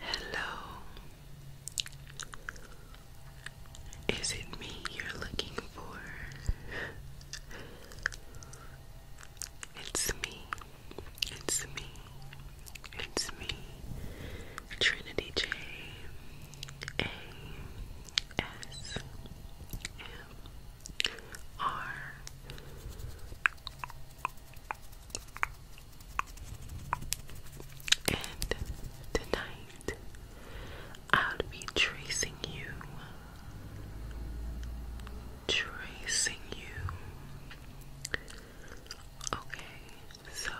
Hello. Is it me you're looking for? It's me. It's me. It's me. Trinity J A S M R and tonight I'll be tracing you, tracing you. Okay, so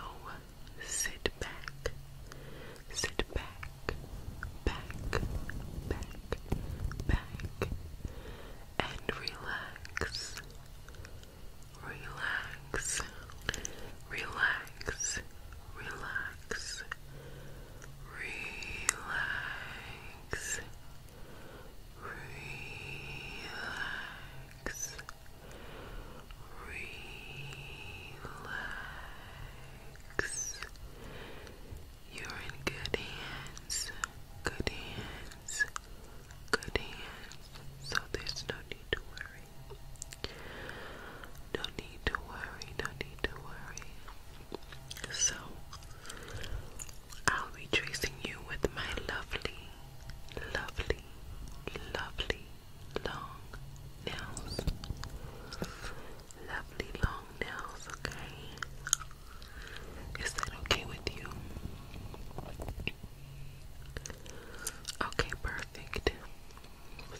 sit back, sit back, back, back, back, and relax relax, relax, relax, relax, relax. Relax. You're in good hands. Good hands good hands, so there's no need to worry. No need to worry, no need to worry. So, I'll be tracing you with my lovely, lovely, lovely long nails. Lovely long nails, okay? Is that okay with you? Okay, perfect.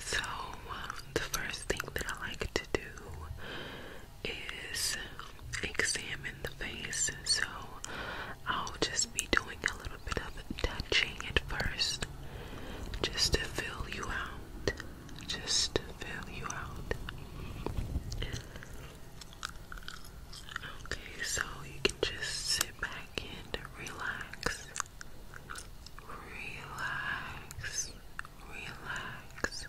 So, um, the first thing that I like to do is examine the face. So, I'll just be doing a little bit of touching at first just to fill you out. Just fill you out. Okay, so you can just sit back and relax. Relax. Relax.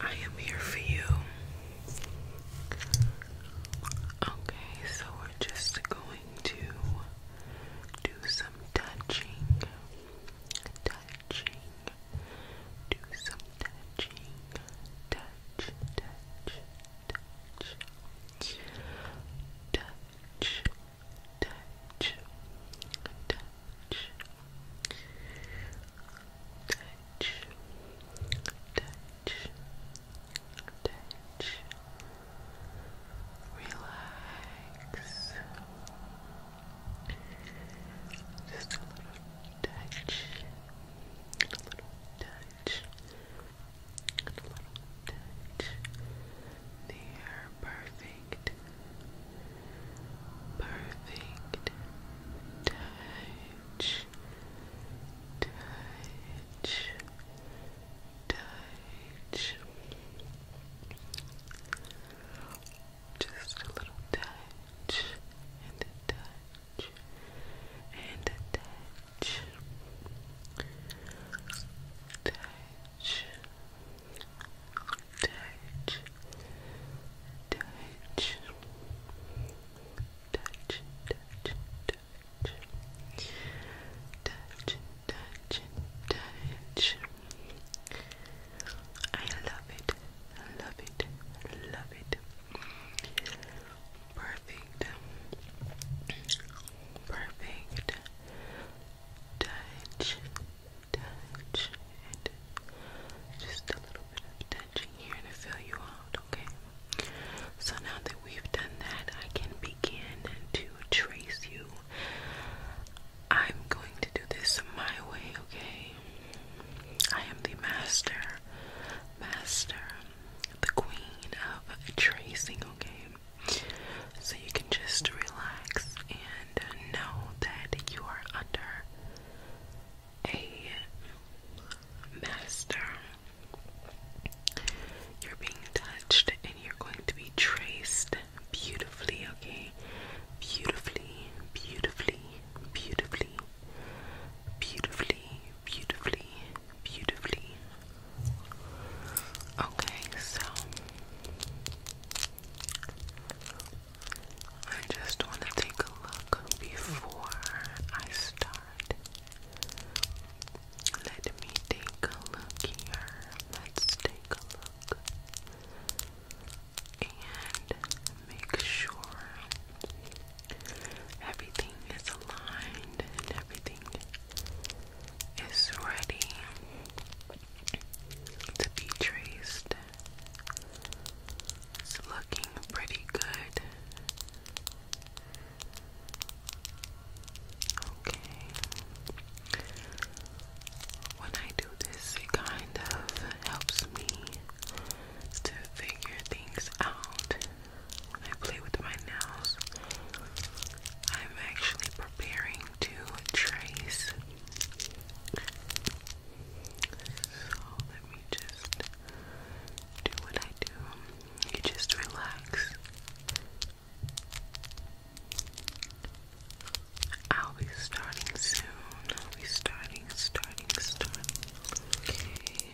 I am here for you. Okay, so we're just going to do some touching. Touching. Do some touching, touch, touch, touch, touch, touch, touch, touch, touch, touch, touch, relax just a little touch, a little touch, a little touch. There, perfect, perfect touch, touch, touch. Just a little touch and a touch and a touch. Touch. Touch. Touch. Touch, touch, touch. Touch, touch, touch. I love it. I love it. I love it. Perfect. Perfect. Touch. Touch. And just a little bit of touching here to fill you out, okay? So now that we've done that, I can begin to trace you. I'm going to do this my way, okay? I am the master, master, the queen of tracing, okay? So you can just relax and know that you are under a master. You're being touched and you're going to be traced beautifully, okay? Beautifully, beautifully, beautifully, beautifully, beautifully, beautifully. Okay, so I just want to take a look before I start. Let me take a look here. Let's take a look and make sure everything is aligned and everything is ready to be traced. It's looking pretty good. Okay when I do this, it kind of helps me to figure things out. I play with my nails, I'm actually preparing to trace. So let me just do what I do. You just relax. I'll be starting soon. I'll be starting, starting, starting. Okay.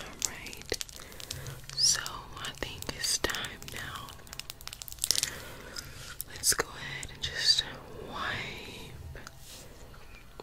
Alright. So I think it's time now. Let's go ahead and just wipe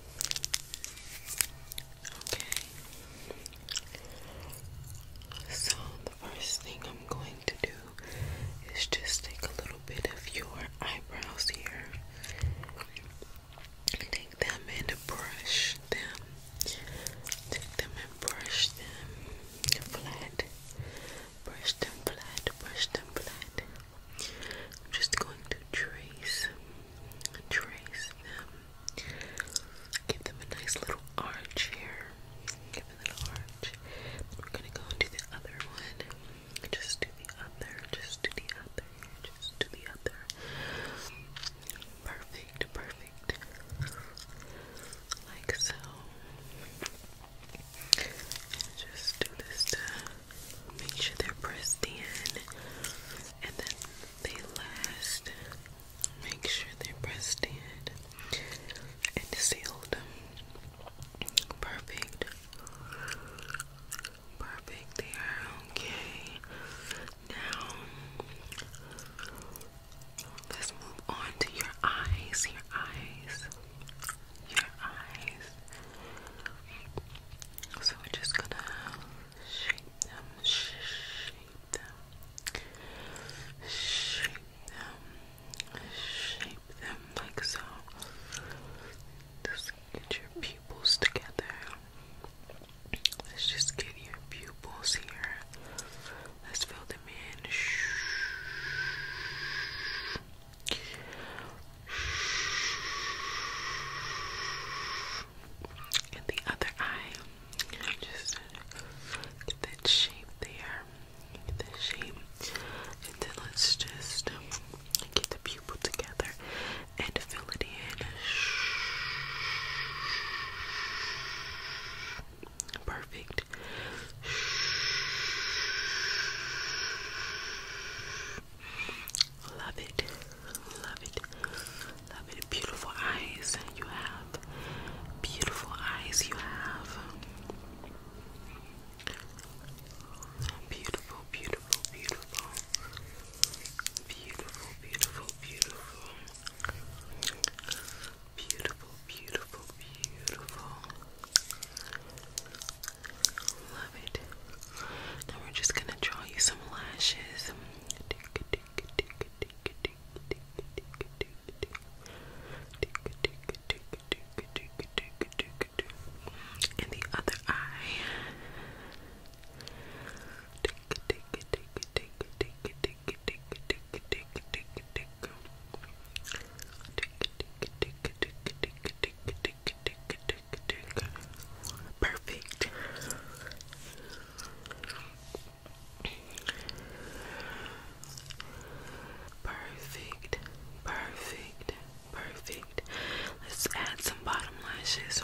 Okay. So the first thing I'm going to do is just take a little bit of your eyebrows here. Take them and brush them. Take them and brush them flat. Brush them flat. Brush them flat. I'm just going to trace, trace them. Give them a nice little arch here. Give them a little arch. we're gonna go and do the other one. Just do the other. Just do the other. Just do the other. Perfect. Perfect. Like so. just do this down. Make sure they're pressed in and then they last. Make sure they're pressed in and sealed. Perfect. Perfect. They are okay. Now let's move on to your eyes. Your eyes. Your eyes. So we're just gonna shape them, shape them, shape them, shape them like so. Just get your pupils together. Let's just get your pupils here. Let's fill them in. And the other eye, just get that shape there, get shape, and then let's just um, get the pupil together and fill it in. Perfect. Love it. Love it. Love it. Beautiful eyes. You have beautiful eyes. You have beautiful, beautiful, beautiful. Beautiful, beautiful, beautiful. Beautiful, beautiful, beautiful. Love it. Now we're just gonna draw you some lashes. In the other eye. Perfect. Perfect. Perfect. Let's add some bottom lashes.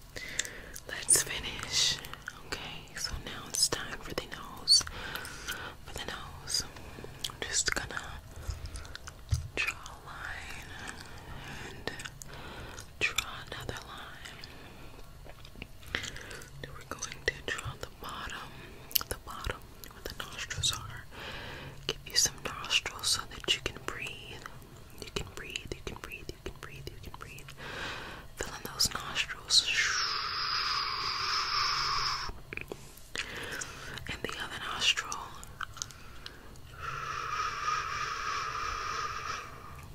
Let's finish. Okay, so now it's time for the nose. For the nose, I'm just gonna draw a line and draw another line. Then we're going to draw the bottom, the bottom where the nostrils are. Give you some nostrils so that you can breathe. You can breathe, you can breathe, you can breathe, you can breathe. Fill in those nostrils. And the other nostril.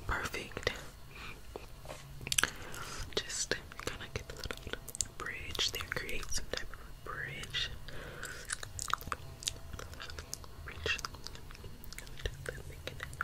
Perfect. Just kind of get a little bridge there, create some type of bridge. Bridge.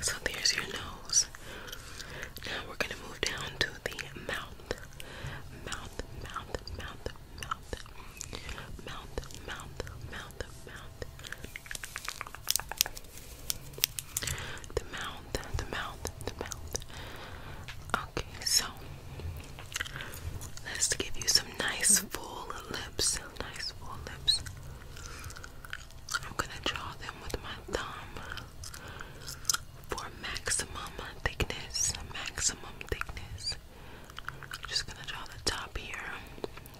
So there's your nose. Now we're gonna move down to the mouth. Mouth, mouth, mouth, mouth. Mouth, mouth, mouth, mouth. The mouth, the mouth, the mouth. Okay, so let's give you some nice full lips. Nice full lips. I'm gonna draw them with my thumb for maximum thickness. Maximum thickness. I'm just gonna draw the top here.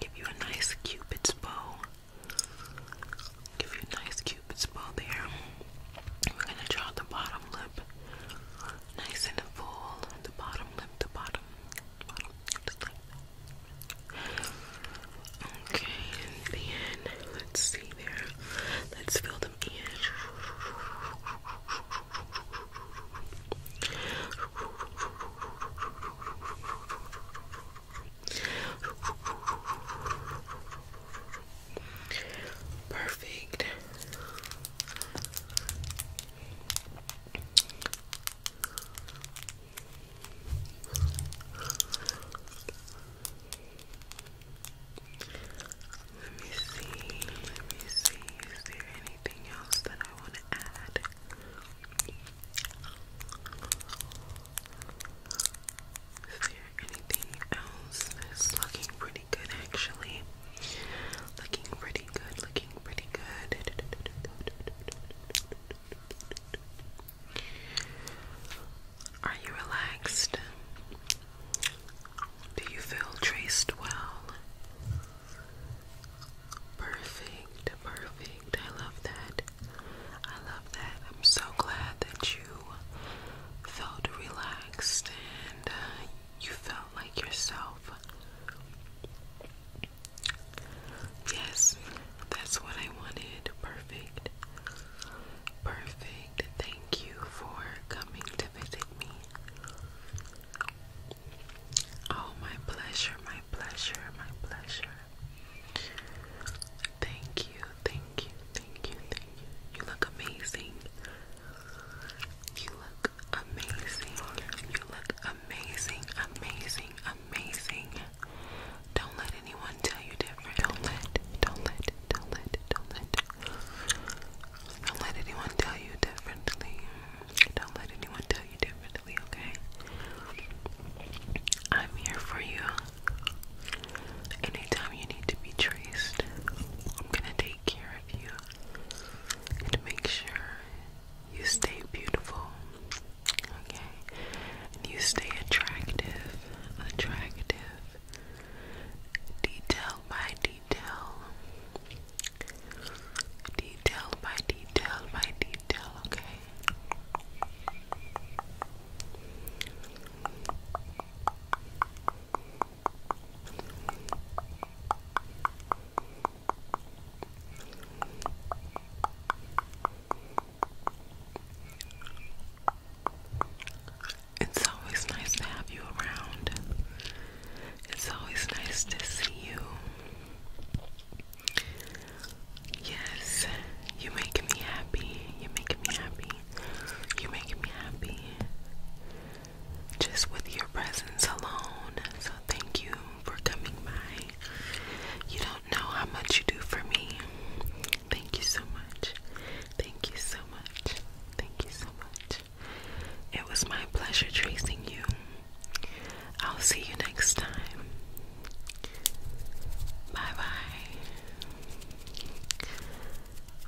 Give you a nice cupid's bow. Give you a nice cupid's bow there. We're gonna draw the bottom lip. Nice and full. The bottom lip, the bottom, Okay, and let's see there. Let's fill them in. Perfect. Let me see. Let me see. Is there anything else that I want to add? Is there anything else? It's looking pretty good, actually. Looking pretty pretty good, looking pretty good. Are you relaxed? Do you feel traced well? Perfect, perfect. I love that. I love that. I'm so glad that you felt relaxed and uh, you felt like yourself. Yes, that's what I wanted. Perfect. Perfect. Thank you for coming to visit me. Oh, my pleasure, my pleasure, my pleasure. Thank you, thank you, thank you, thank you. You look amazing. You look amazing. You look amazing, amazing, amazing. Don't let anyone tell you different. Don't let, don't let, don't let, don't let. Don't let anyone tell you differently. Don't let anyone tell you differently, okay? I'm here for you. Anytime you need to be traced, I'm gonna take care of you and make sure you stay beautiful, okay? you stay attractive, attractive, detail by detail, detail by detail by detail, Okay. It's always nice to have you around. It's always nice to see you. Yes, you make me happy. You make me happy. You make me happy just with your presence alone. So, thank you for coming by. You don't know how much you do for me. Thank you so much. Thank you so much. Thank you so much. It was my pleasure tracing you. I'll see you next time. Bye bye.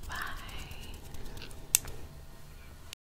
Bye.